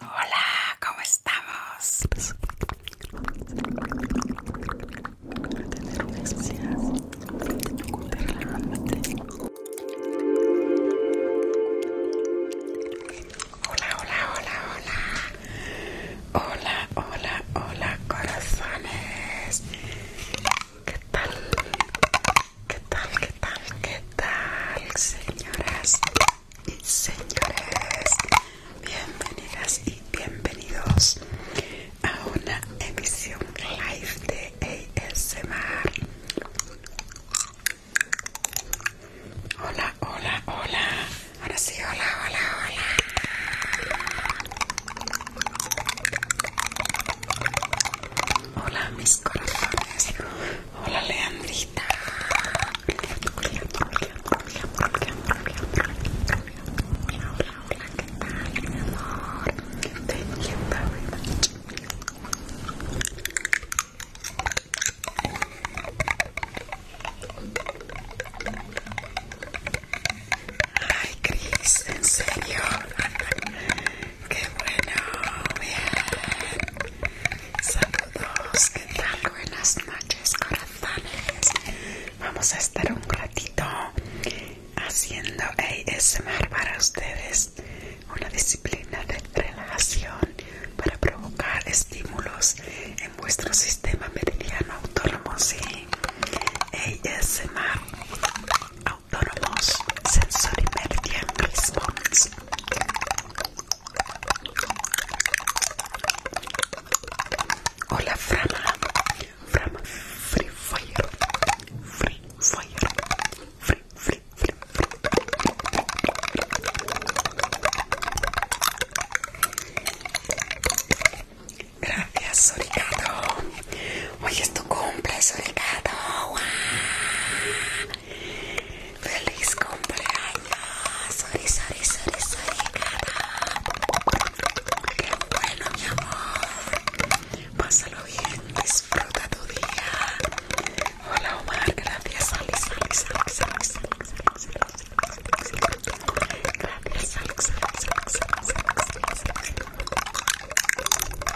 Hola, ¿cómo estamos? Tener Hola, hola, hola, hola. Hola, hola, hola, corazones. ¿Qué tal? ¿Qué tal, qué tal, qué tal, señoras y señores? Bienvenidas y bienvenidos a una emisión live de ASMR. Hola, hola, hola. Ahora sí, hola, hola, hola. Hola mis corazones. Hola Leandrita. Hola, hola, hola, ¿qué tal, mi amor? Te entiendo, Ay, Cris, en serio. Qué bueno, bien. Saludos, ¿qué tal? Buenas noches, corazones. Vamos a estar un ratito haciendo ASMR para ustedes. Una disciplina de relajación para provocar estímulos en vuestro sistema meridiano autónomo, sí. ASMR. Sensory Meridian Response. Hola Frama, Frama Free Fire, Free Fire, Free, Free, Free, Free. Gracias Soricato, hoy es tu cumple Soricato. Feliz cumpleaños. Qué bueno, mi amor. Pásalo bien. Disfruta tu día. Hola, Omar. Gracias, Alex, Alex, Alex, Gracias, Alex.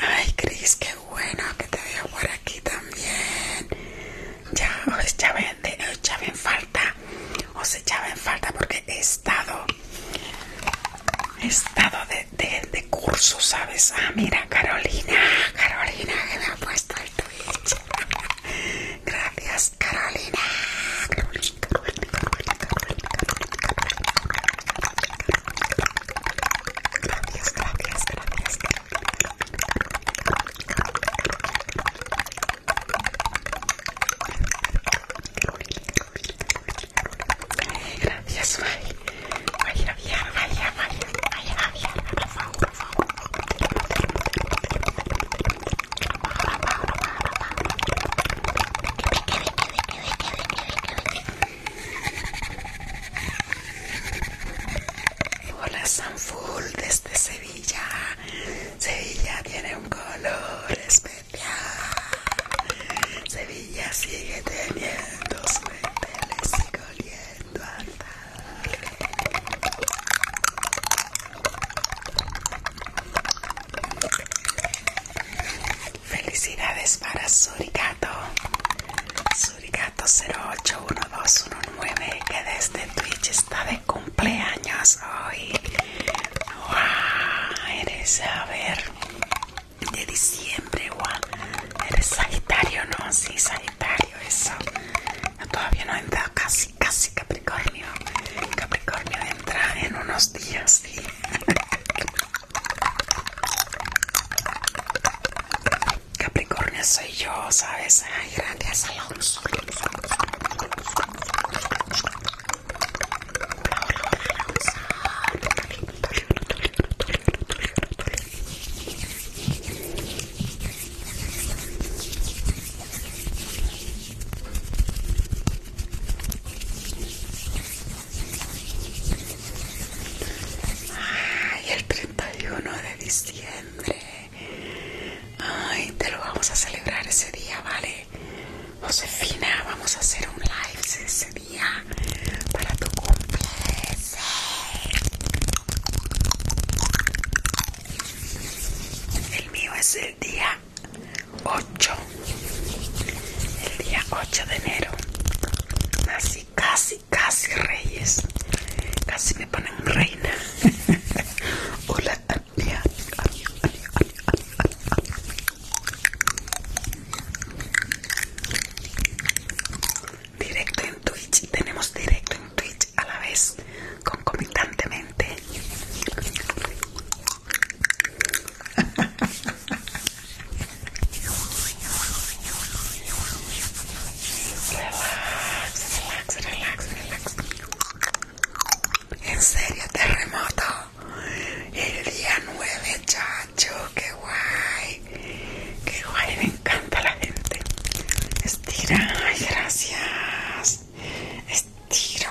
Ay, Cris, qué bueno que te a por aquí también. Ya os echaba en, falta, os echaba en falta porque he estado, he estado de, curso, ¿sabes? Ah, mira, Carolina, Carolina, que me ha puesto el Twitch. Gracias, Carolina, Carolina, Carolina, Carolina, Carolina, Gracias, gracias, gracias. Gracias, gracias, gracias, Javier, Hola San Sanful desde Sevilla. Sevilla tiene un color especial. Sevilla sigue teniendo suéteres y coliendo Felicidades para Suricato. Suricato 081219 que desde Twitch está de cumpleaños hoy. Wow, eres a ver de diciembre, wow. Eres Sagitario, ¿no? Sí, Sagitario, eso. todavía no he entrado casi, casi Capricornio. Capricornio entra en unos días, sí. Capricornio soy yo, ¿sabes? Ay, gracias, Alonso. Ay, el 31 de diciembre. Ay, te lo vamos a celebrar ese día, ¿vale? Josefina, vamos a hacer un live ese día para tu cumpleaños. El mío es el día 8. El día 8 de enero. Así casi casi reyes, casi me ponen reina. Hola, Directo en Twitch, tenemos directo en Twitch a la vez, concomitantemente. Relax, relax, relax, relax. En serio, terremoto. El día 9, chacho, qué guay. Qué guay, me encanta la gente. Estira, gracias. Estiro,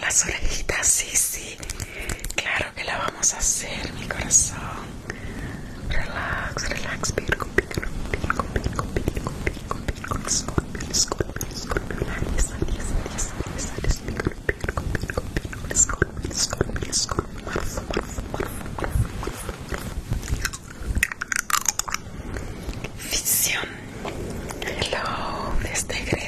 Las orejitas, sí, sí. Claro que la vamos a hacer, mi corazón. Relax, relax, pico pico pico pico pico pico pico pico pico pico pico pico pico pico pico pico pico Hello, desde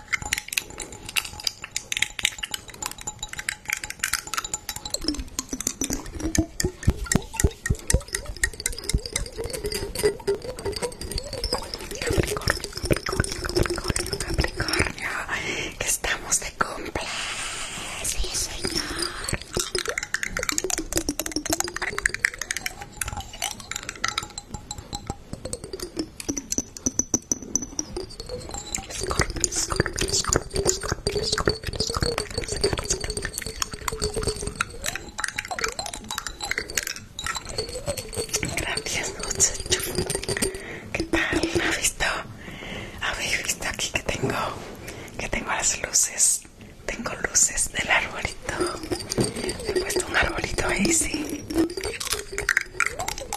Capricornio, Capricornio, Capricornio, Capricornio, que estamos de cumple. Sí, señor. Gracias, noches ¿Qué tal? visto? ¿Habéis visto aquí que tengo? Que tengo las luces. Tengo luces del arbolito. He puesto un arbolito ahí,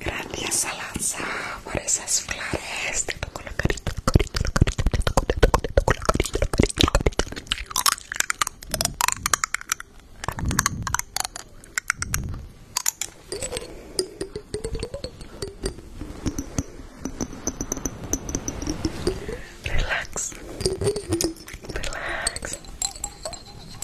Gracias Alanza por esas flores. Te toco la carita, la carita, la carita, te toco, la carita, la carita, la carita. Relax, relax,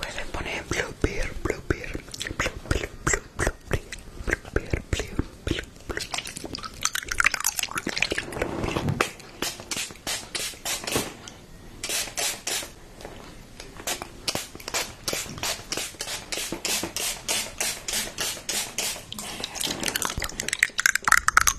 Pueden poner blue beer, blue beer, blue, blue, blue, blue, blue, blue beer, blue, blue, blue.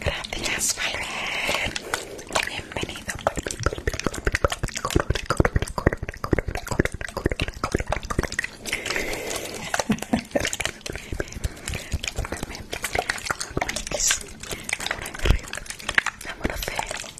Gracias, Valver. Bienvenido. Eh.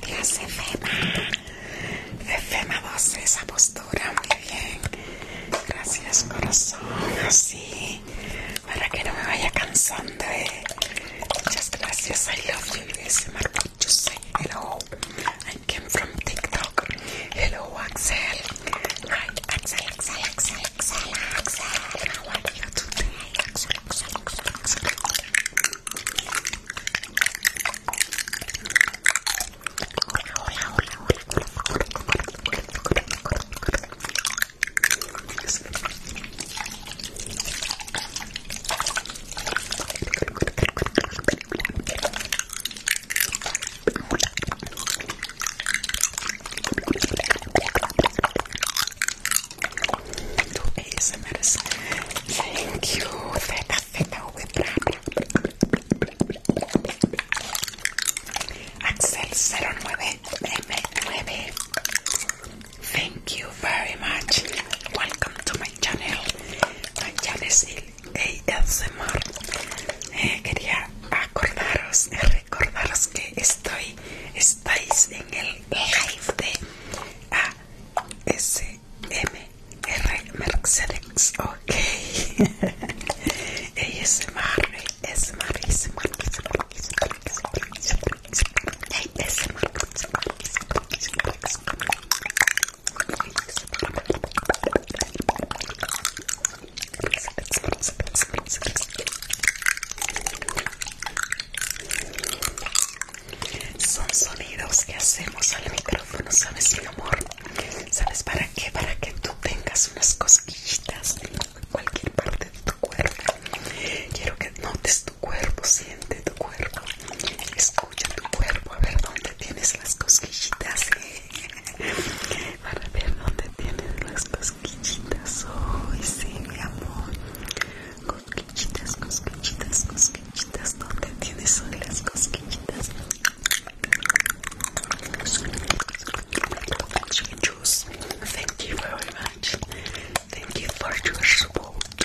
Gracias, Efema. Efema 12, esa postura, muy bien. Gracias, corazón. Así, para que no me vaya cansando. Eh. Muchas gracias. I love you. ese Marco. hello. I came from TikTok. Hello, Axel. Hi, Axel, Axel, Axel, Axel, Axel. How are you today, Axel, Axel, Axel, Axel? Hola, hola, hola, hola, hola, hola, hola, hola, hola, hola. ASMRs. Thank you. Theta, theta, Axel 09M9. Thank you very much. Welcome to my Chanel, channel es el ASMR quería acordaros recordaros que estoy estáis en el live de A S M ASMR Mercedes ok ASMR ASMR ASMR ASMR ASMR son sonidos que hacemos al micrófono, ¿sabes, mi amor? ¿Sabes para qué? Para que tú tengas unas cosquillitas en cualquier parte de tu cuerpo. Quiero que notes tu cuerpo, siente tu cuerpo, escucha tu cuerpo, a ver dónde tienes las cosquillitas, eh. Para ver dónde tienes las cosquillitas hoy, oh, sí, mi amor. Cosquillitas, cosquillitas, cosquillitas, ¿dónde tienes hoy las cosquillitas? Thank you very much. Thank you for your support.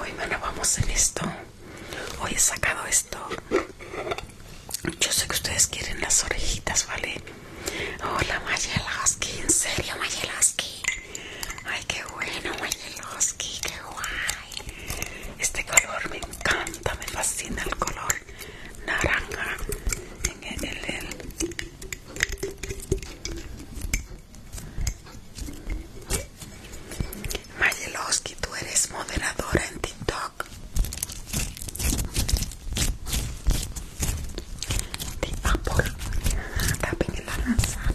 hoy bueno vamos en esto hoy he sacado esto yo sé que ustedes quieren las orejitas vale hola Mayelaski en serio Mayelaski ay qué bueno Mayelaski qué guay este color me encanta me fascina el color naranja en Mayelowski, tú eres moderadora en TikTok. De apple, en la manzana.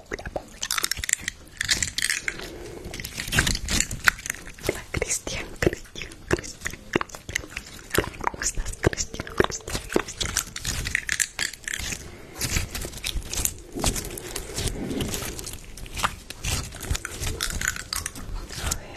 Cristian, Cristian, Cristian, Cristian, Cristian, Cristian? Cristian, A ver.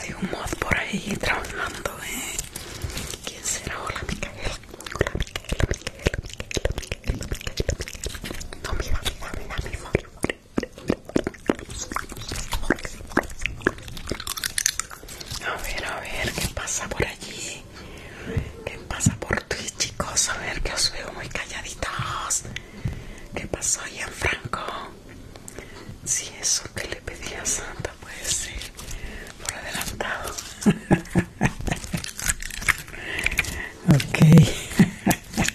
Hay un mod por ahí trabajando, ¿eh? ¿Quién será? Hola, Hola, a ver, a ver, ¿qué pasa por allí? ¿Qué pasa por ti chicos? A ver, que os veo muy calladitos. ¿Qué pasó, en Franco? Si eso que le pedí a Santa puede ser por adelantado. ok.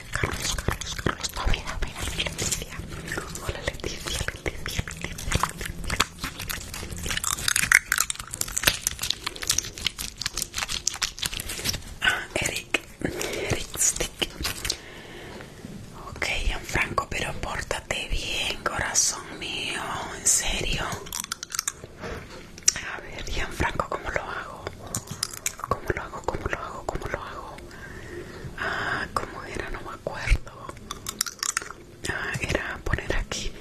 Carlos, Carlos, Carlos, Carlos, Leticia. Hola, Leticia, Ah, Eric, Eric Stick. Ok, Franco, pero pórtate bien, corazón mío, en serio. A ver, Franco, ¿cómo lo hago? ¿Cómo lo hago? ¿Cómo lo hago? ¿Cómo lo hago? Ah, ¿cómo era? No me acuerdo. Ah, era poner aquí.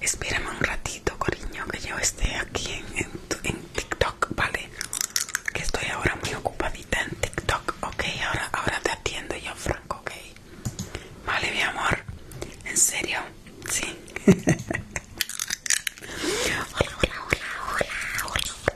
Espérame un ratito, cariño, que yo esté aquí en, TikTok, ¿vale? Que estoy ahora muy ocupadita en TikTok, ok. Ahora, ahora te atiendo yo, Franco, ok. Vale, mi amor. ¿En serio? Sí. hola, hola, hola, hola.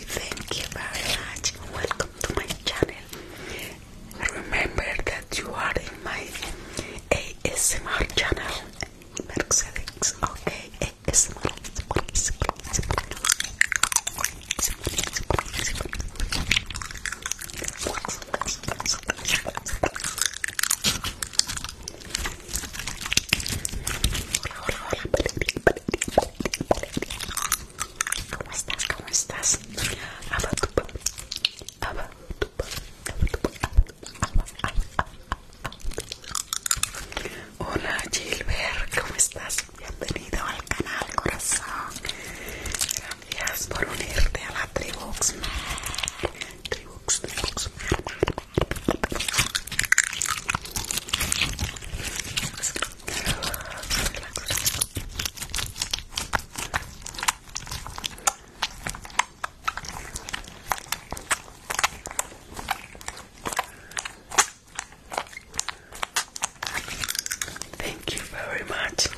thank you very much. Welcome to my channel. Remember that you are in my ASMR channel. Mercedes, okay, ASMR. ¿Cómo estás? ¿Cómo estás? Abatupa, abatupa, abatupa, abatupa, abatupa. Hola Gilbert, ¿cómo estás? Bienvenido al canal corazón. Gracias por unirte a la tribu Tribuxmer. Thank you very much.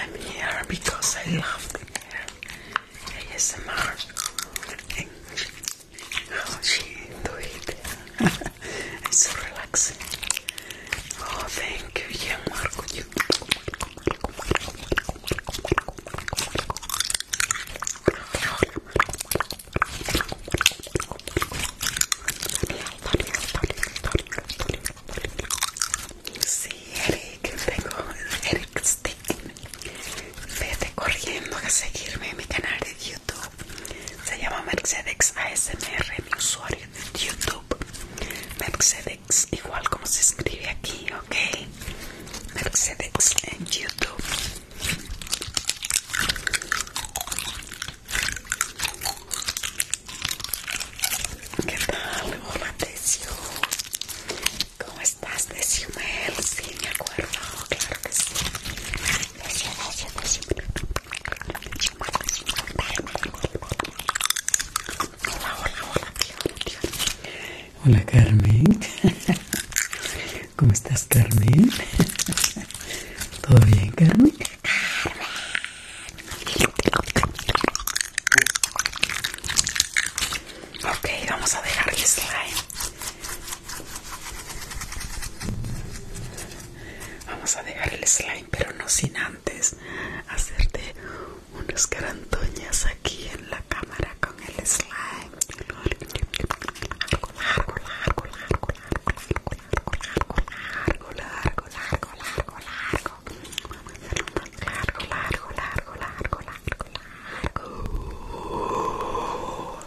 I'm here because I love ASMR and Oh, sí, doy. es so relaxing. Oh, thank you, marco Sí, Eric, tengo Eric Stick. Vete corriendo a seguirme en mi canal de YouTube. Se llama Mercedes ASMR, mi usuario de YouTube. Mercedes, igual como se escribe aquí, ok. Mercedes en YouTube. ¿Qué tal? Hola, Tessio ¿Cómo estás, Tesio Sí, me acuerdo, claro que sí. Hola hola, hola, hola, Carmen, ¿cómo estás Carmen? ¿Todo bien Carmen? Ok, vamos a dejar el slime Vamos a dejar el slime, pero no sin antes hacerte unas carantoñas aquí en la cámara con el slime. Largo, largo, largo, largo, largo, largo, largo, largo, largo, largo, largo, largo, largo, largo, largo, largo, largo, largo.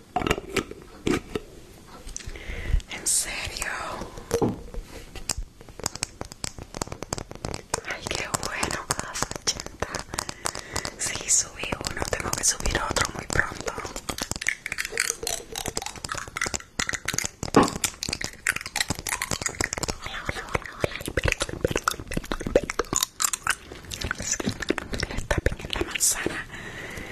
¿En serio? Ay, qué bueno, Sí, subí uno, tengo que subir otro muy pronto. Hola, hola, hola, hola, manzana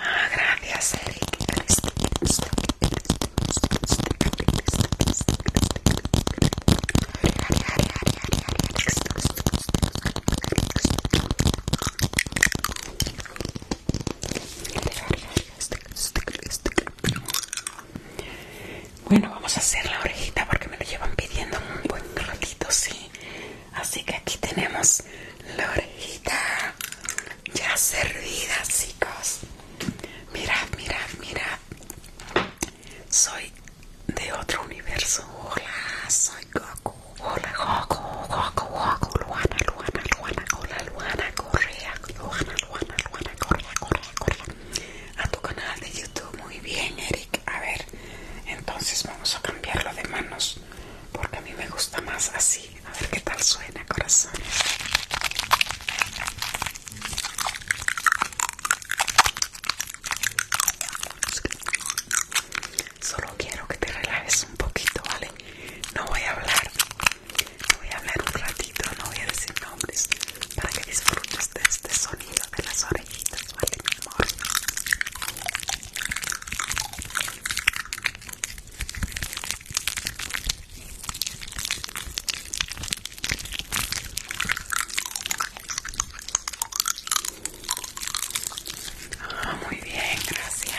Ah, gracias, Eric. Bueno, vamos a hacer la orejita porque me lo llevan pidiendo un buen ratito, sí. Así que aquí tenemos la orejita ya servida, chicos. Mirad, mirad, mirad. Soy de otro universo. Hola, soy Goku. Hola, Goku, Goku, Goku. Luana, Luana, Luana. Hola, Luana Correa. Luana, Luana, Luana Correa, Correa, Correa. A tu canal de YouTube. Muy bien, Eric. A ver, entonces vamos a cambiarlo de manos porque a mí me gusta más así. A ver qué tal suena, corazón Solo quiero que te relajes un poquito, ¿vale? No voy a hablar. No voy a hablar un ratito, no voy a decir nombres para que disfrutes de este sonido de las orejitas, ¿vale, mi amor? Ah, muy bien, gracias.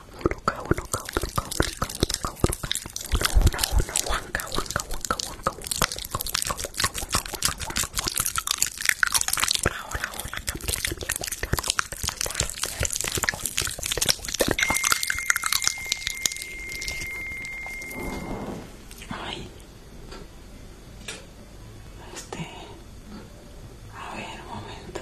Ay. Este. A ver, un momento.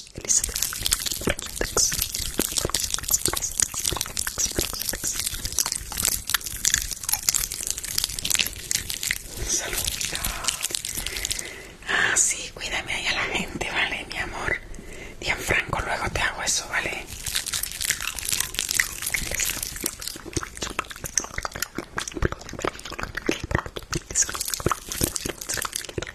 Elizabeth Salud. Ah, sí, cuídame ahí a la gente, ¿vale? Mi amor. Y en franco, luego te hago eso, ¿vale?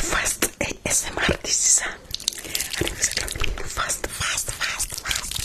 Fast ASMR, this is a fast, fast, fast, fast, fast, fast,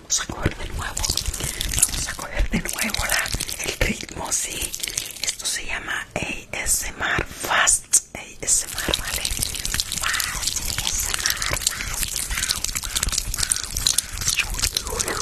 Vamos a coger de nuevo. Vamos a coger de nuevo el ritmo, sí. Esto se llama ASMR Fast. ASMR, ¿vale? Fast, ASMR, Chocolate.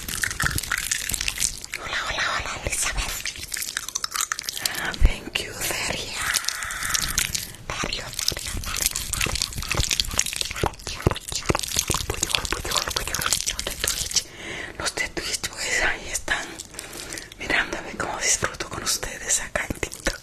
Hola, hola, hola, Elizabeth. Ah, thank you, Daria. Dario, Dario, Los Twitch, pues ahí están mirándome cómo disfruto con ustedes acá en TikTok.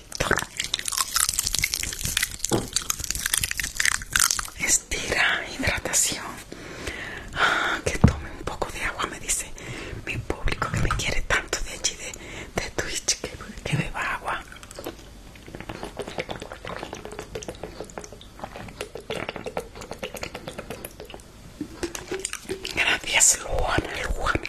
Estira, hidratación. Ah, que tome un poco de agua, me dice mi público que me quiere tanto de allí de, Twitch que, que beba agua. Gracias, Luana, Luana.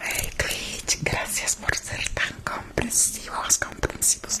Hey Twitch, gracias por ser tan comprensivos, comprensivos.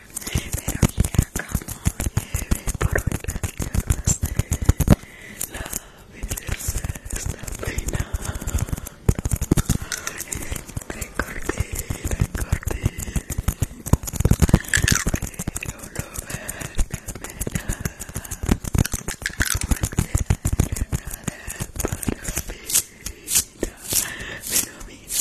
pero mira cómo por ventanas de la belleza está peinando recorté, recorté pero lo verdaderamente no era para mí pero mira,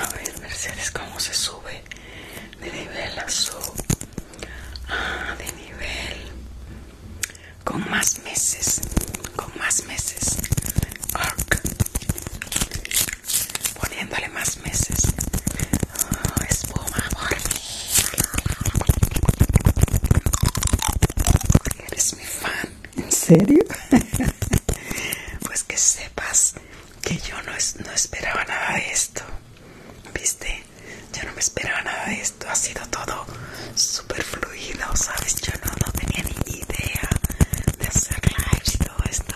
A ver, Mercedes, cómo se sube de nivel azul. Ah, de nivel. Con más meses. Con más meses. Poniéndole más meses. Oh, espuma por Eres mi fan. ¿En serio? pues que sepas que yo no, no esperaba nada de esto. ¿Viste? Yo no me esperaba nada de esto. Ha sido todo súper fluido, ¿sabes? Yo no, tenía ni idea de hacer live y todo esto.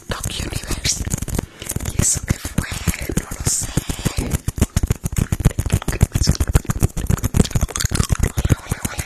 TikTok Universe. ¿Y eso qué fue? No lo sé. Hola, hola, hola.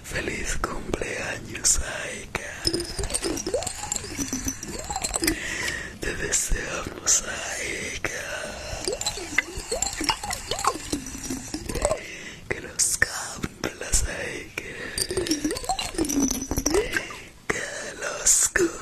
Feliz cumpleaños, Aika. Te deseamos, Aika. Que los cumplas, Aika. Que los cumplas.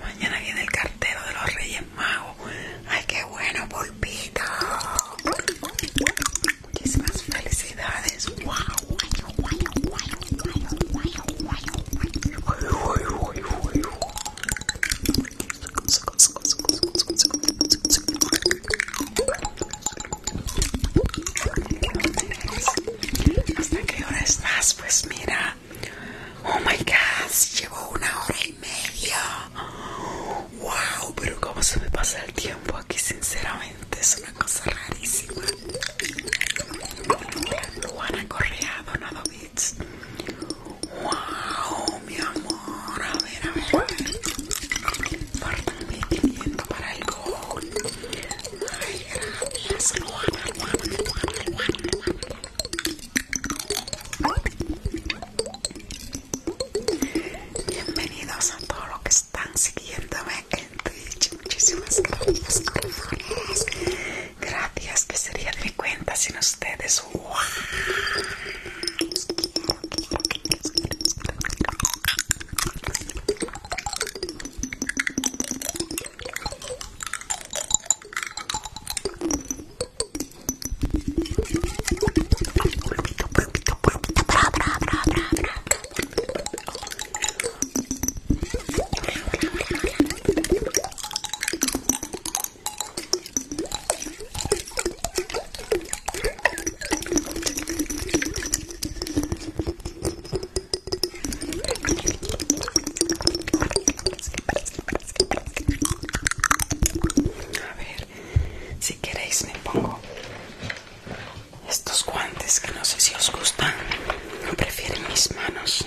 Mañana viene el cartero de los Reyes Magos. Ay, qué bueno, Pulpita Muchísimas felicidades. Wow. ¿Hasta qué hora estás? Pues mira, oh my gosh, llevo una hora y media. Wow, pero como se me pasa el tiempo aquí, sinceramente, es una cosa rarísima. han acorreado No Wow, mi amor. A ver, a ver. para el gol. Ay, gracias, Bienvenidos a todos los que están siguiéndome en Twitch. Muchísimas gracias, Gracias. Que que sería de cuenta sin ustedes? A ver, si queréis me pongo estos guantes que no sé si os gustan, no prefieren mis manos.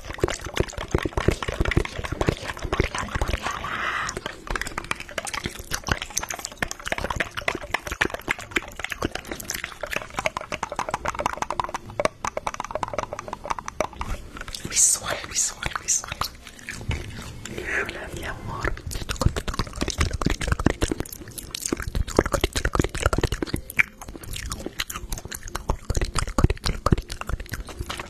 Mi suele, mi suele, mi suele. Hola, mi amor.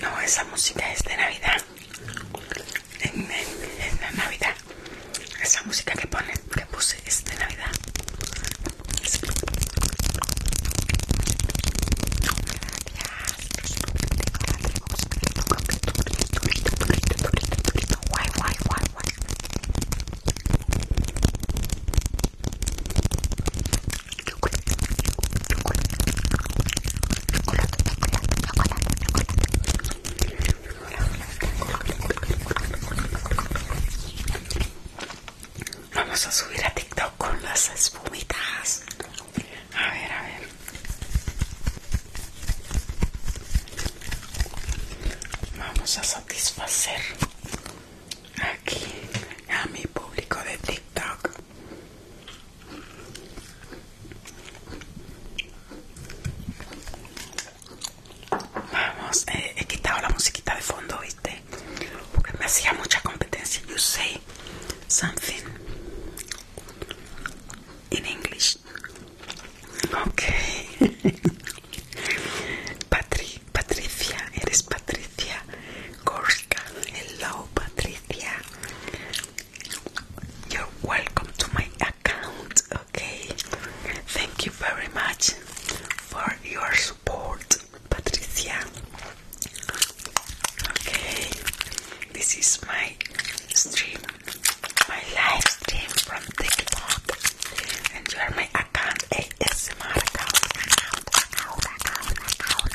No, esa música es de Navidad. En, Navidad. Esa música que pone, que puse es de Navidad. Vamos a subir a TikTok con las espumitas. A ver, a ver. Vamos a satisfacer aquí a mi público de TikTok. Vamos, eh, he quitado la musiquita de fondo, ¿viste? Porque me hacía mucha competencia. You say something in English. Ok Patri, Patricia, eres Patricia. Gorska. Hello, Patricia. You're welcome to my account. Okay, thank you very much for your support, Patricia. Okay, this is my stream, my live stream from TikTok, and you are my account ASMR account, account,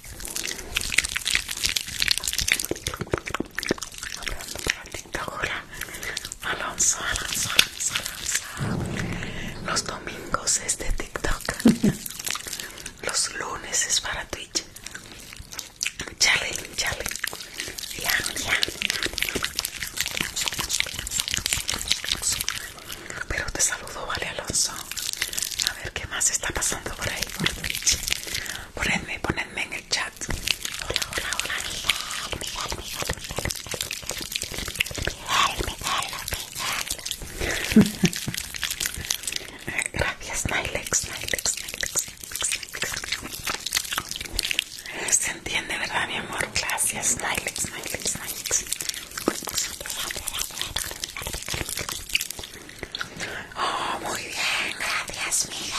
Alonso, Alonso, Alonso, Alonso. Los domingos es de TikTok. Los lunes es para Twitch. Chale, chale. Ya, ya. Pero te saludo, vale, Alonso. A ver qué más está pasando por ahí por Twitch. Ponedme, ponedme en el chat. Hola, hola, hola, Miguel, Miguel, Miguel, Miguel, Gracias, Nylex, Nylex, Nylex, Se entiende, ¿verdad, mi amor? Gracias, Nylex, Nylex, Nylex. Oh, muy bien, gracias, Miguel.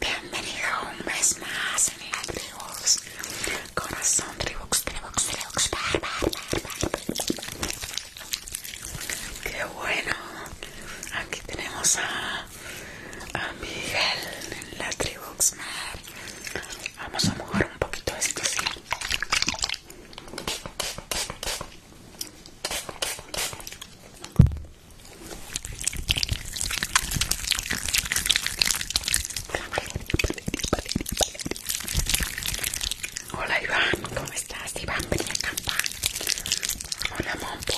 Bienvenido un mes más en el Tribox. Corazón, Tribox, Tribox, Tribox. Bar, Qué bueno. Aquí tenemos a, a Miguel en la Tribox. Vamos a mojar un poquito esto, sí. Hola Iván, ¿cómo estás? Iván, a campa Hola Mompo.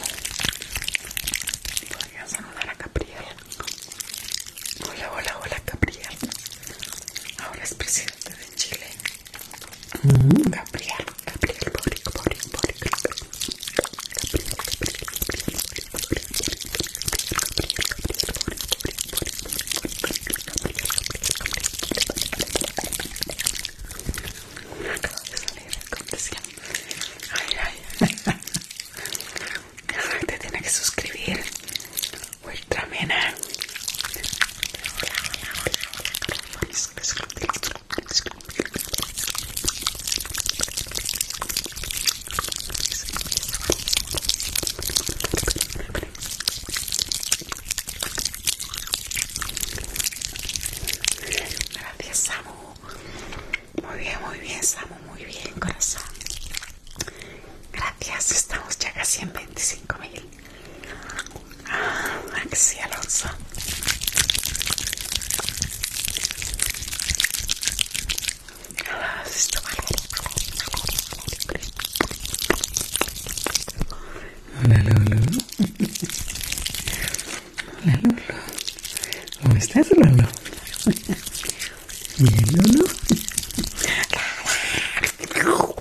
Voy saludar a Gabriel. Hola, hola, hola Gabriel. Hola es presidente de Chile. Gabriel, Gabriel, Gabriel, Gabriel, Gabriel, Te Gabriel, que suscribir. Gabriel, Gracias, Samu. Muy bien, muy bien, Samu. Muy bien, corazón. Gracias, estamos ya casi en mil. Alonso Hola Lolo. Hola Lolo. ¿Cómo estás Lolo? Bien Lolo.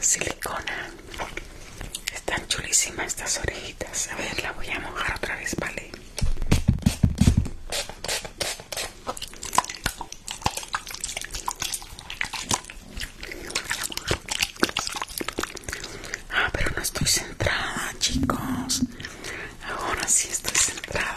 silicona. Están chulísimas estas orejitas. A ver, la voy a mojar otra vez, ¿vale? Ah, pero no estoy centrada, chicos. Ahora sí estoy centrada.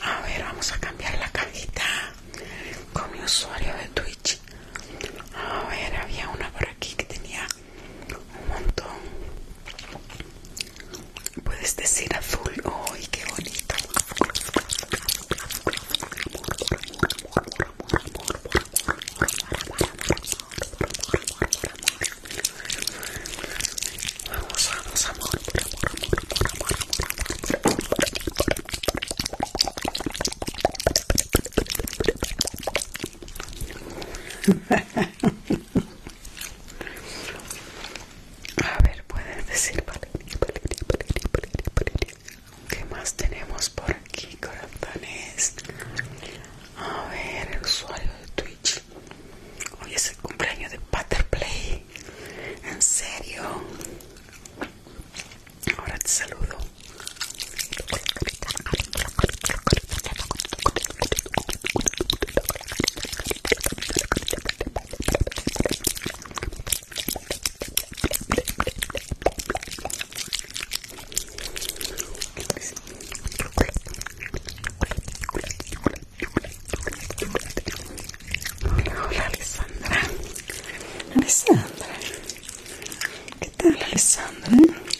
A ver, vamos a cambiar la cajita con mi usuario de Twitch. A ver, había una por aquí que tenía un montón puedes decir azul ¡ay qué bonito! Vamos, por amor. A ver, puedes decir ¿Qué más tenemos por aquí, corazones? A ver, el usuario de Twitch. Hoy es el cumpleaños de Butterplay. ¿En serio? Ahora te saludo. Hola Alessandra Alessandra ¿Qué tal Alessandra?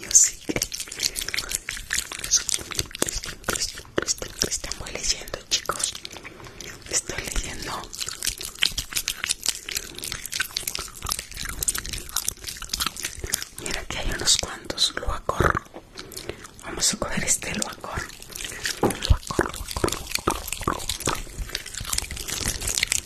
Yo sí que Estamos leyendo, chicos. Estoy leyendo. Mira que hay unos cuantos acorro. Vamos a coger este Loacor. Luacor, luacor, luacor, luacor.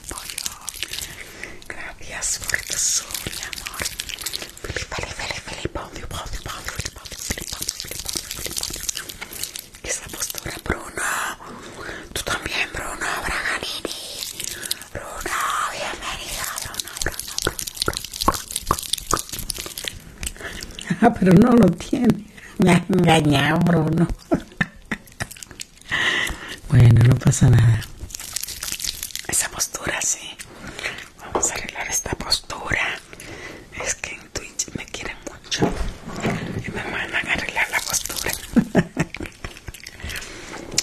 Gracias por tu mi amor. ¿Qué Felipe, la postura, Bruno. Tú también, Bruno Braganini. Bruno, bienvenido, Bruno, Ah, pero no lo tiene. Me ha engañado, Bruno. Bueno, no pasa nada. Esa postura, sí. Vamos a arreglar esta postura. Es que en Twitch me quieren mucho. Y me mandan a arreglar la postura.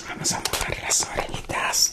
Vamos a mover las orejitas.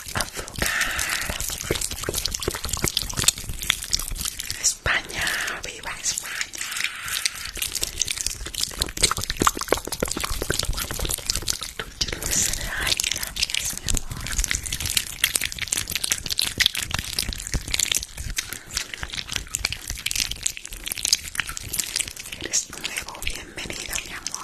Avocado. España, viva España. Tú dulce de mi amor. Eres nuevo, bienvenido, mi amor.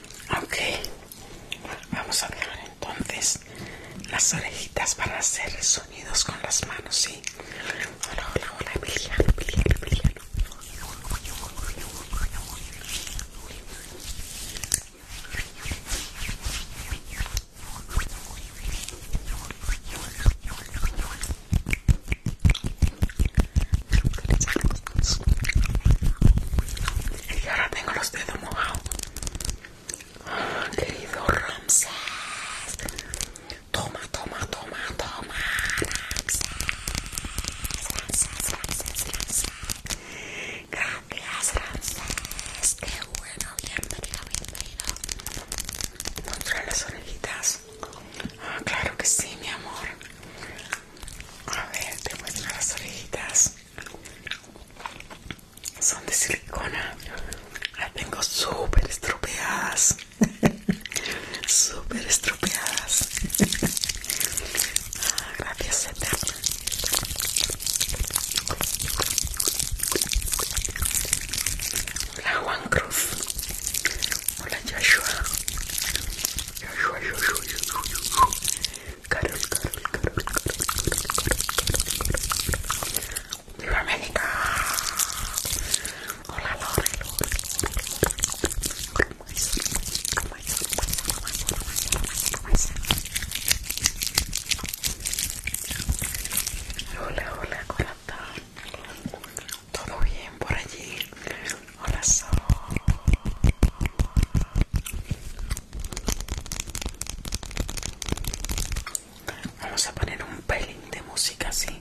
Ok, vamos a dejar entonces las orejitas para hacer sonidos con las manos, ¿sí? Hola, hola, hola, Emiliano, Emiliano, Emiliano. Y ahora tengo los dedos mojados. Ah, querido Ramses. Toma, toma, toma, toma. Ramses, Ramses, Ramses, Ramses. Gracias, Ramses. Qué bueno, bienvenido, bienvenido. las orejitas. Ah, claro que sí, mi amor. A ver, te muestro las orejitas. Son de silicona. Las tengo súper estropeadas. súper estropeadas. Ah, gracias, Eterna. Hola Juan Cruz. Hola Joshua. Carol, Carol, Carol, Carol, ¡Viva Carol, Hola, Lore, Hola, hola, está? Todo bien por allí corazón. Vamos a poner un pelín de música así.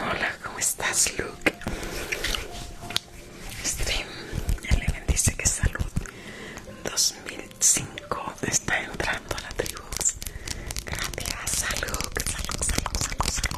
Hola, ¿cómo estás, Luke? Stream Eleven dice que salud 2005 está entrando a la tribu. Gracias, salud, salud, salud, salud, salud.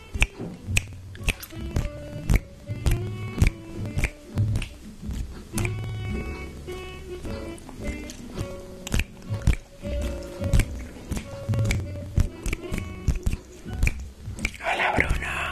Hola, Bruna.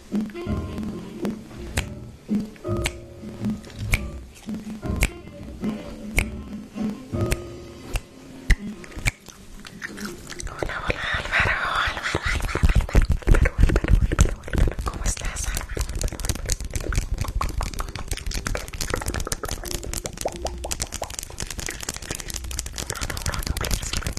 Hola, hola,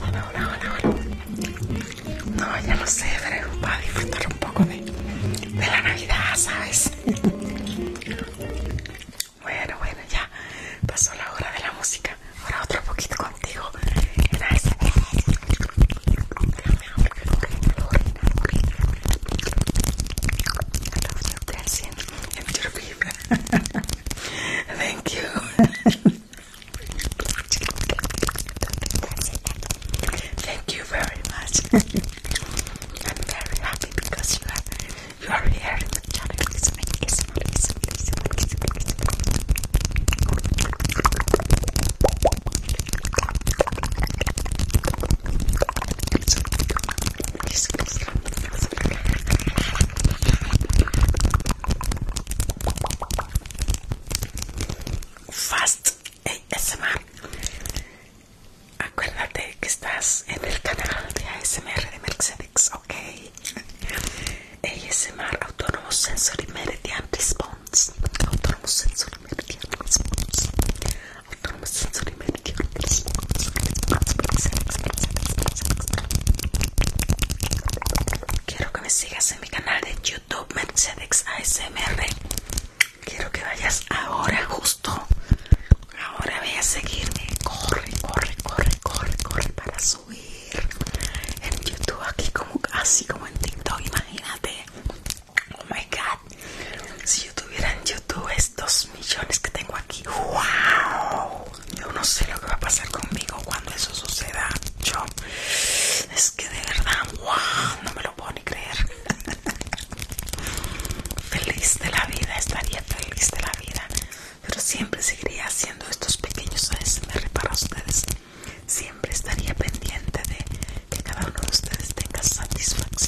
Hola, hola, hola, No, ya no sé, pero va a disfrutar un poco de, de la Navidad, ¿sabes? Bueno, bueno, ya pasó la hora de la música. Ahora otro poquito contigo. En Gracias. Thank you. Thank you very much. I'm very happy because you are you are here Fast ASMR. Acuérdate que estás en el canal de ASMR de Mercedes, ok. ASMR autónomo Sensory Meridian Response. autónomo Sensory Meridian Response. Quiero que me sigas en mi canal de YouTube Mercedes ASMR. Quiero que vayas ahora, justo. Ahora voy a seguirme. Corre, corre, corre, corre, corre para subir en YouTube aquí como así como en TikTok. Imagínate. Oh my God. Si yo tuviera en YouTube Dos millones que tengo aquí. ¡Wow! Yo no sé lo que va a pasar conmigo cuando eso suceda. Yo, es que de verdad, wow, no me lo puedo ni creer. feliz de la vida, estaría feliz de la vida. Pero siempre seguiría haciendo estos pequeños ASMR para ustedes. Siempre estaría pendiente de que cada uno de ustedes tenga satisfacción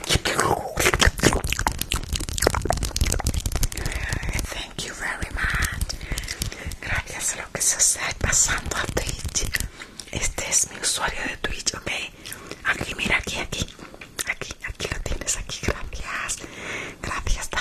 Gracias a lo que se pasando a Twitch. Este es mi usuario de Twitch, ok. Aquí, mira, aquí, aquí. Aquí, aquí lo tienes, aquí, gracias. Gracias, está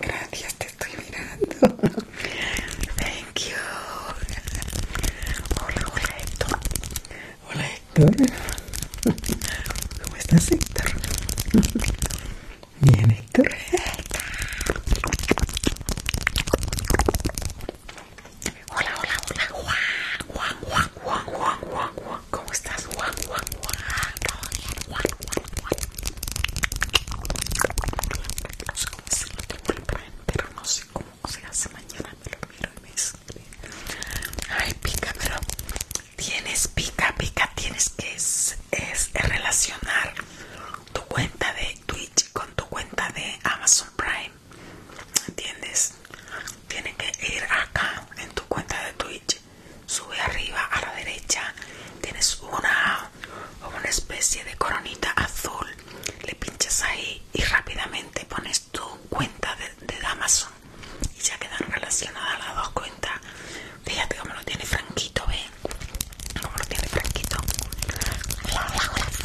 Gracias, te estoy mirando. Thank you. Hola, hola Héctor. Hola Héctor. ¿Cómo estás Héctor? Bien Héctor. Hola, hola, hola, Juan, Juan, Juan, Juan, Juan, Juan, ¿cómo estás, Juan, Juan, Juan? Juan, Juan, Juan. No sé cómo se se hace mañana, me lo miro y me Ay, pica, pero tienes pica, pica, tienes que es, es relacionar tu cuenta de Twitch con tu cuenta de Amazon Prime. ¿Entiendes? Tiene que ir acá en tu cuenta de Twitch. Sube arriba a la derecha. Tienes una, una especie de coronita azul. Le pinchas ahí y rápidamente pones tu cuenta de, Amazon. Y ya quedan relacionadas las dos cuentas. Fíjate cómo lo tiene Franquito, ¿Ven? Como lo tiene Franquito.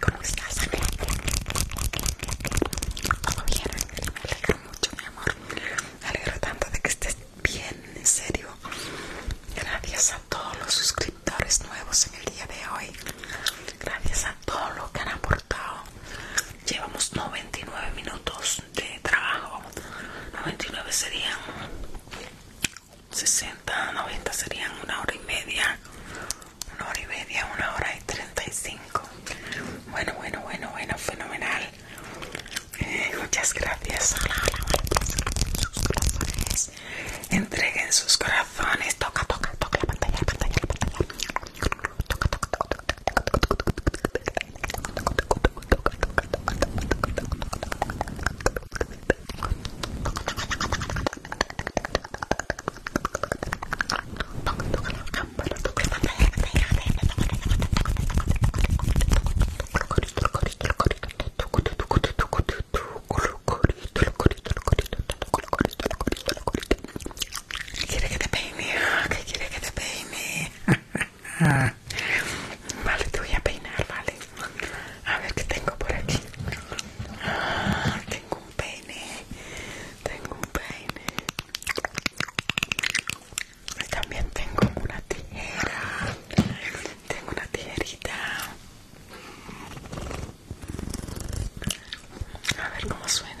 ¿cómo estás, ¿Todo Me alegro mucho, mi amor. Me alegro tanto de que estés bien, en serio. Gracias a todos los suscriptores nuevos en el día de hoy. Gracias a todos los que han aportado. Llevamos 99 minutos de trabajo. 99 serían 60, 90 serían una hora y media, una hora y media, una hora y 35. Bueno, bueno, bueno, bueno, fenomenal. muchas gracias. Entreguen sus corazones. Toca, toca, toca la pantalla, la pantalla, la pantalla. ¿Quiere que te peine? ¿Qué quiere que te peine? Vale, te voy a peinar, vale. A ver qué tengo por aquí. tengo un peine. Tengo un peine. También tengo una tijera. Tengo una tijerita. A ver cómo suena.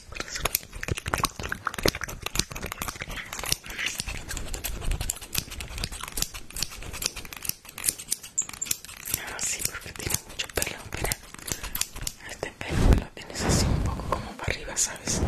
No ah, sí, porque tiene mucho pelo, pero Este pelo lo tienes así un poco como para arriba, ¿sabes?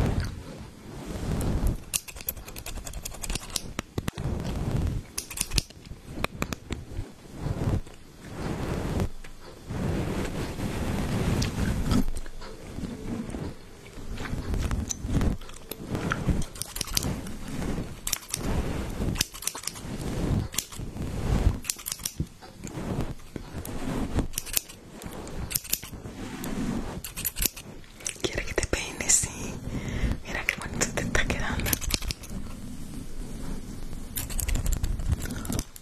Quiere que te peines, sí. Mira qué bonito te está quedando.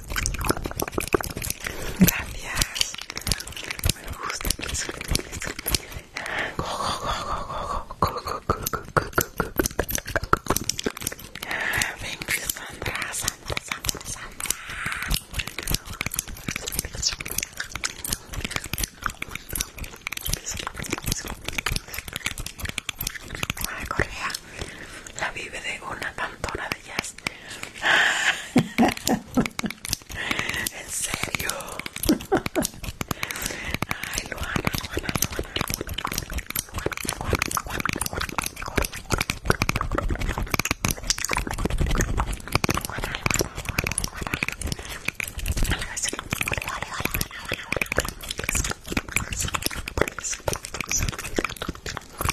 Gracias. Me gusta Go, go, go, go, go, go, go, go, go, Thank la vive de una cantora en serio. Te aconsejo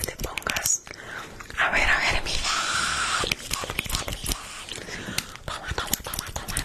que te pongas. A ver, a ver, mira. Toma, toma, toma, toma,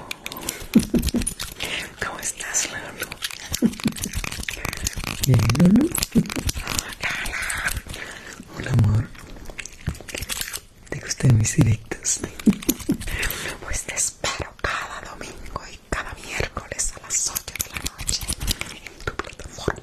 ¿Cómo estás, Lalo? Bien, Lalo. Lala. Hola, amor. ¿Te gustan mis directos? Pues te espero cada domingo y cada miércoles a las 8 de la noche en tu plataforma.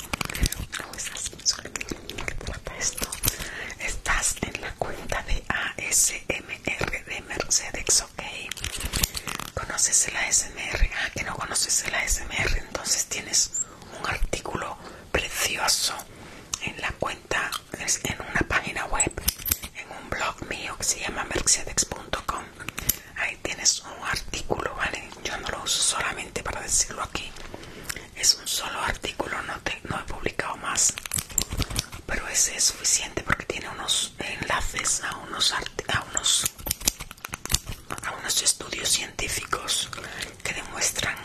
estás en la cuenta de ASMR de Mercedes, ok. ¿Conoces el ASMR? Ah, que no conoces el ASMR, entonces tienes un artículo precioso en la cuenta, en una página web, en un blog mío que se llama mercedes.com ahí tienes un artículo vale yo no lo uso solamente para decirlo aquí es un solo artículo no he publicado más pero ese es suficiente porque tiene unos enlaces a unos a a unos estudios científicos que demuestran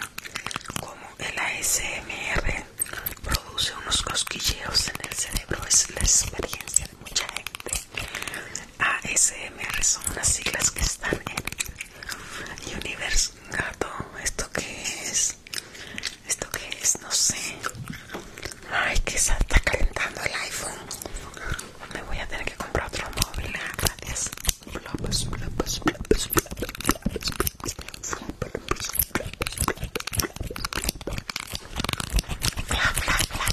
cómo el ASMR produce unos cosquilleos en el cerebro es la experiencia de mucha gente ASMR son unas siglas que están en Universe Gato. ¿Esto que es? ¿Esto que es? No sé. Ay, que se está calentando el iPhone. Me voy a tener que comprar otro móvil. Gracias. Ah, bla, bla.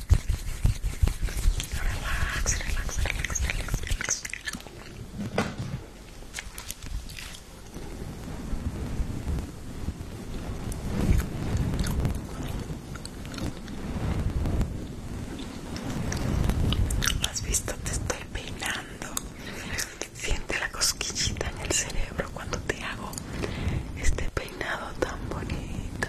Relax, relax, relax, relax, ¿Lo has visto? Te estoy peinando. Siente la cosquillita en el cerebro cuando te hago este peinado tan bonito.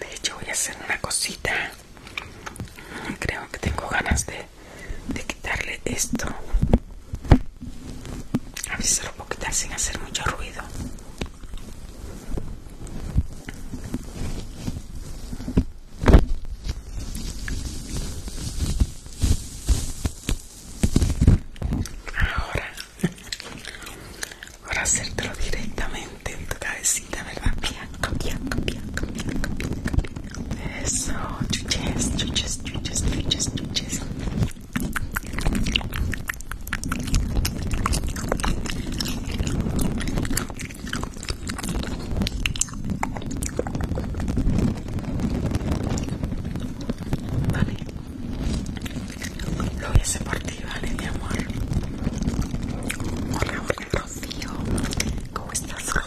De hecho voy a hacer una cosita. Creo que tengo ganas de, de quitarle esto. A ver si se lo puedo quitar sin hacer mucho ruido. Ahora Ahora hacértelo directamente en tu cabecita, ¿verdad? Bianca, bianca, bianca, bianca, bianca, bianca. Eso, chuches, chuches, chuches, chuches, chuches. Vale, lo hice por ti, ¿vale, mi amor? Rocío. ¿Cómo estás, Rocío?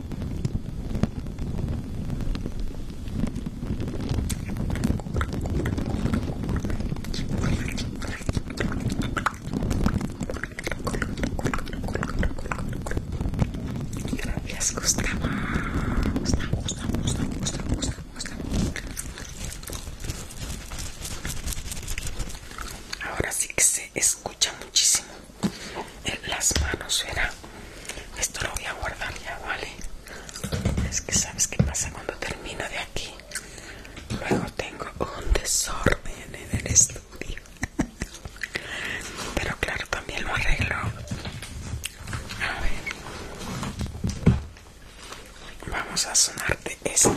Ahora sí que se escucha muchísimo las manos, era Esto lo voy a guardar ya, ¿vale? Es que sabes qué pasa cuando termino de aquí. Luego tengo un desorden en el estudio. Pero claro, también lo arreglo. A ver. Vamos a sonarte esto.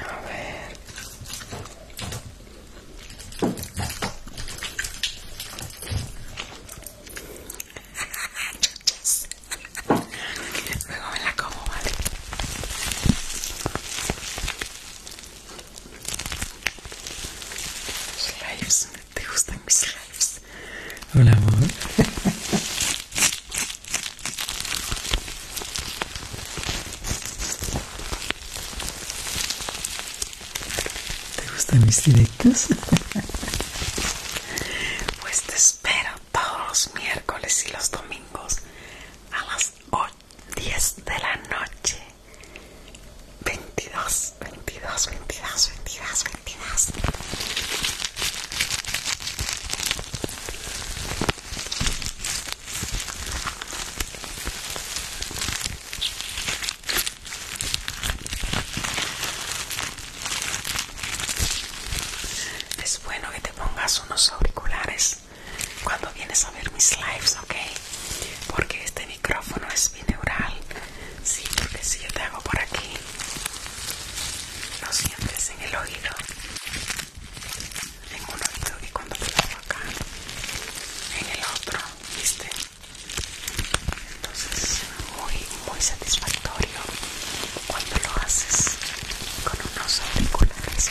A ver. Luego me la como, ¿vale? Slives, ¿te gustan mis slives? Hola, amor. ¿Te gustan mis directos? pues te espero todos los miércoles y los domingos a las 10 de la noche. 22, 22, 22, 22, 22. Es bueno que te pongas unos auriculares cuando vienes a ver mis lives, ¿ok? Porque este micrófono es bineural. Sí, porque si yo te hago por aquí, Lo sientes en el oído en un oído y cuando lo hago acá en el otro viste entonces muy muy satisfactorio cuando lo haces con unos auriculares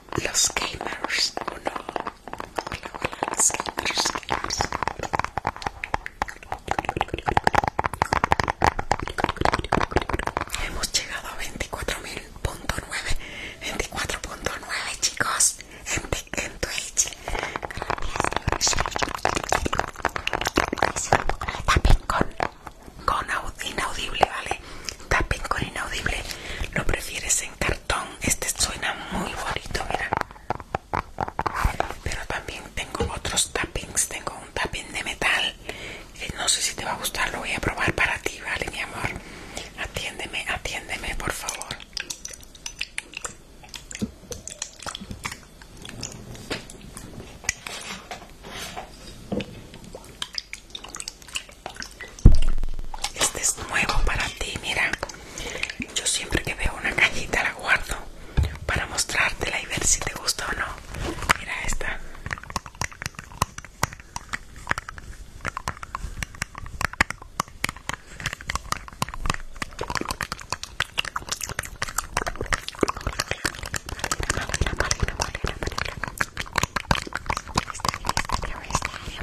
los gamers, ¿o no? los gamers, Hemos llegado a 24.000.9 24.9 chicos en, en Twitch con, inaudible, ¿vale? Tapen con inaudible Lo prefieres en este suena muy bonito, mira. Pero también tengo otros tappings. Tengo un tapping de metal. Eh, no sé si te va a gustar. Lo voy a probar para ti, ¿vale, mi amor? Atiéndeme, atiéndeme, por favor. Este es nuevo para ti, mira. Yo siempre que veo una cajita la guardo para mostrártela y ver si te gusta o no. Mira esta.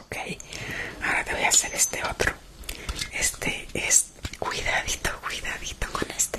Ok, ahora te voy a hacer este otro. Este es cuidadito, cuidadito con este.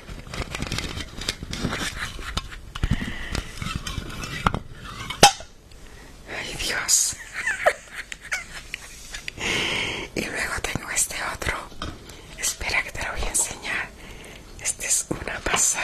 Ay, Dios. y luego tengo este otro. Espera que te lo voy a enseñar. Esta es una pasada.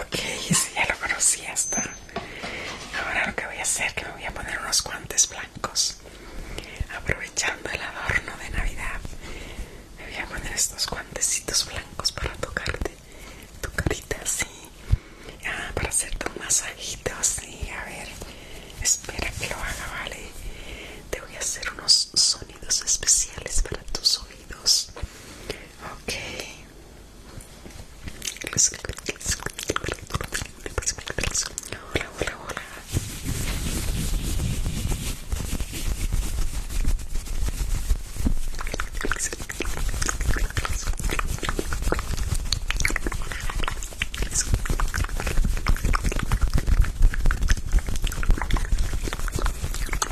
Ok, ese ya lo conocí hasta. Ahora lo que voy a hacer es que me voy a poner unos guantes blancos. Aprovechando el adorno de Navidad, me voy a poner estos guantecitos blancos para tocarte tu carita así. Ah, para hacerte un masajito así. A ver, espera que lo haga, ¿vale? Te voy a hacer unos sonidos sonidos especiales para tus oídos. Okay. Hola, hola, hola.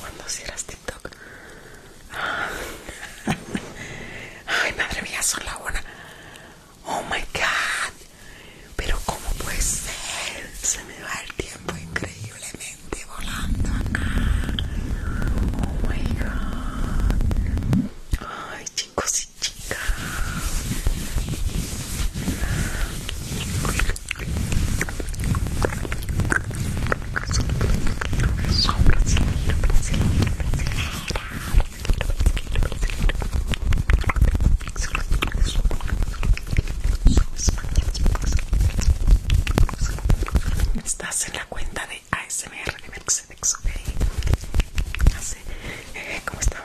Cuando cierras TikTok. Ay, madre mía, son la buena. Oh my god. Pero cómo puede ser. Se me va el tiempo increíblemente volando Oh my god. Ay, chicos y chicas. Estás en la cuenta de ASMR de ok. Eh, ¿cómo estamos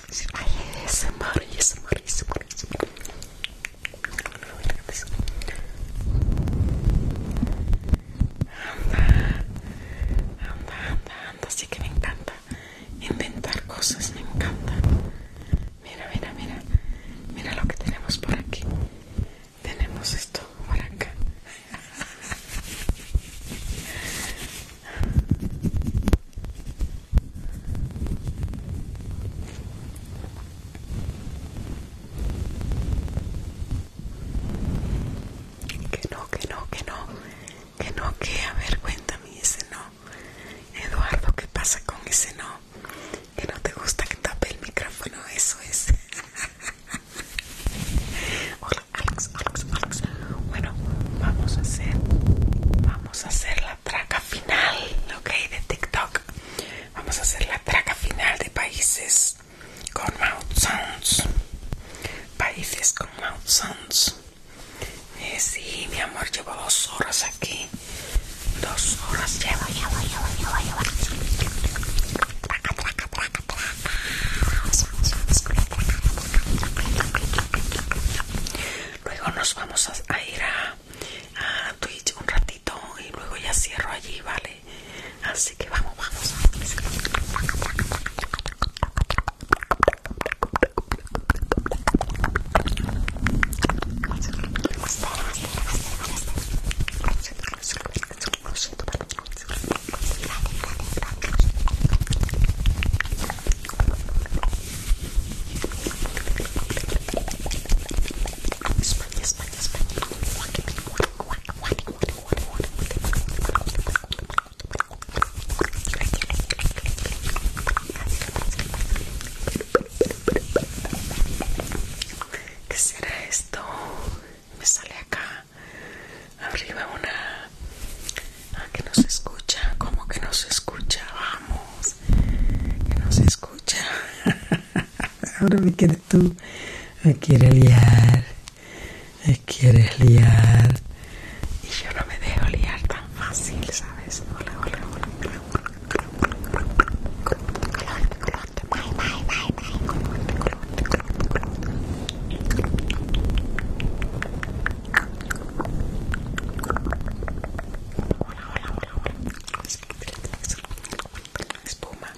Ay, es amor es ASMR. Anda, anda, anda, anda, así que me encanta inventar cosas, me encanta. Mira, mira, mira, mira lo que tenemos por aquí. Tenemos esto por acá. Que no, que no, que no, que no, que a ver, cuéntame ese no. Eduardo, ¿qué pasa con ese no? Que no te gusta que tape el micrófono, eso es. Hola, Alex, Alex, Alex. Bueno, vamos a hacer, vamos a hacer la traca final, ok, de TikTok. Vamos a hacer la traca final de países con mouth sounds. Países con mouth eh, sounds. sí, mi amor, llevo dos horas aquí. Dos horas llevo, Luego nos vamos a ir a a, Twitch un ratito y luego ya cierro allí, ¿vale? Así que vamos, vamos. España, España, España. ¿Qué será esto? Me sale acá arriba una... Ah, que no se escucha, como que no se escucha, vamos que no se escucha. Ahora me quieres tú, me quieres liar, me quieres liar. Y yo no me dejo liar tan fácil, ¿sabes? Hola, hola, hola. Hola, hola, espuma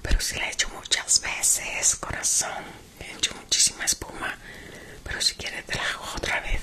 pero si la he hecho muchas veces corazón he hecho muchísima espuma pero si quieres te la hago otra vez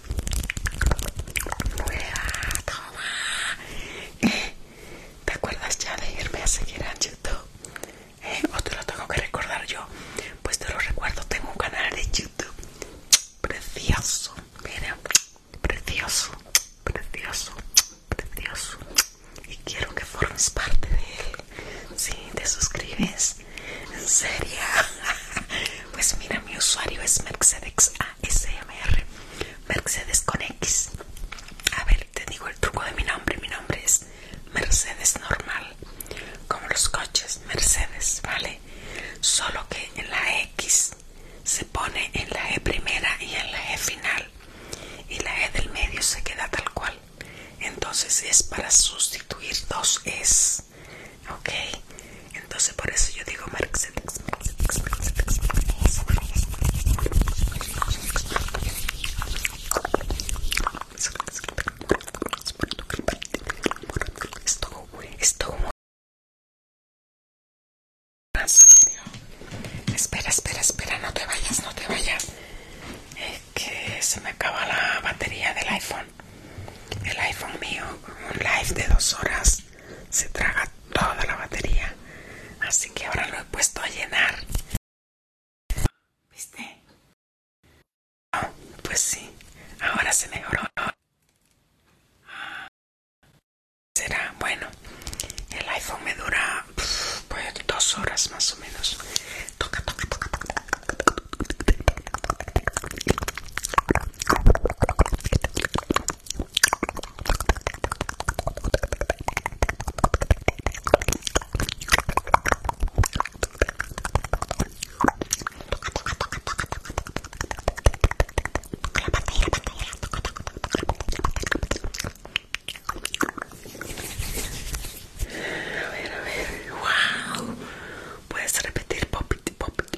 nueva toma. ¿Te acuerdas ya de irme a seguir a YouTube? Eh, ¿O te lo tengo que recordar yo? Pues te lo recuerdo, tengo un canal de YouTube precioso. Mira, precioso, precioso, precioso. Y quiero que formes parte de él. Si te suscribes, en serio. Pues mira, mi usuario es Mercedes SMR. Mercedes con X. A ver, te digo el truco de mi nombre. Mi nombre es Mercedes normal, como los coches Mercedes, ¿vale? Solo que en la X se pone en la E primera y en la E final. Y la E del medio se queda tal cual. Entonces es para sustituir dos Es. Ok, entonces por eso yo digo Esto Espera, espera, espera, no te vayas, no te vayas. Es que se me acaba la batería del iPhone. El iPhone mío, un live de dos horas se traga toda la batería. Así que ahora lo he puesto a llenar. ¿Viste? pues sí, ahora se mejoró. Será bueno. El iPhone me dura pues, dos horas más o menos. toca, toca, toca. A ver, a ver. Wow. Puedes repetir popiti popiti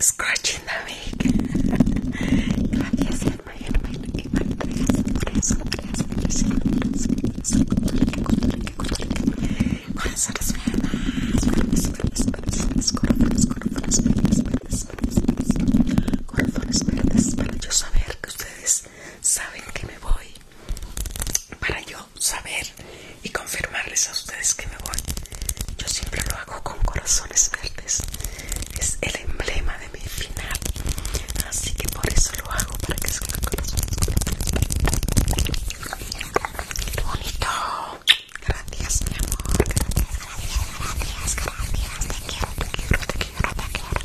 Scratching the mic. Gracias, hermano. Corazones verdes para yo saber que ustedes saben que me voy para yo saber y confirmarles a ustedes que me voy. Yo siempre lo hago con corazones verdes. Es el emblema de mi final. Así que por eso lo hago, para que salgan corazones verdes. bonito! Gracias, mi amor. Gracias, gracias, gracias. Te quiero, te quiero, te quiero, te quiero.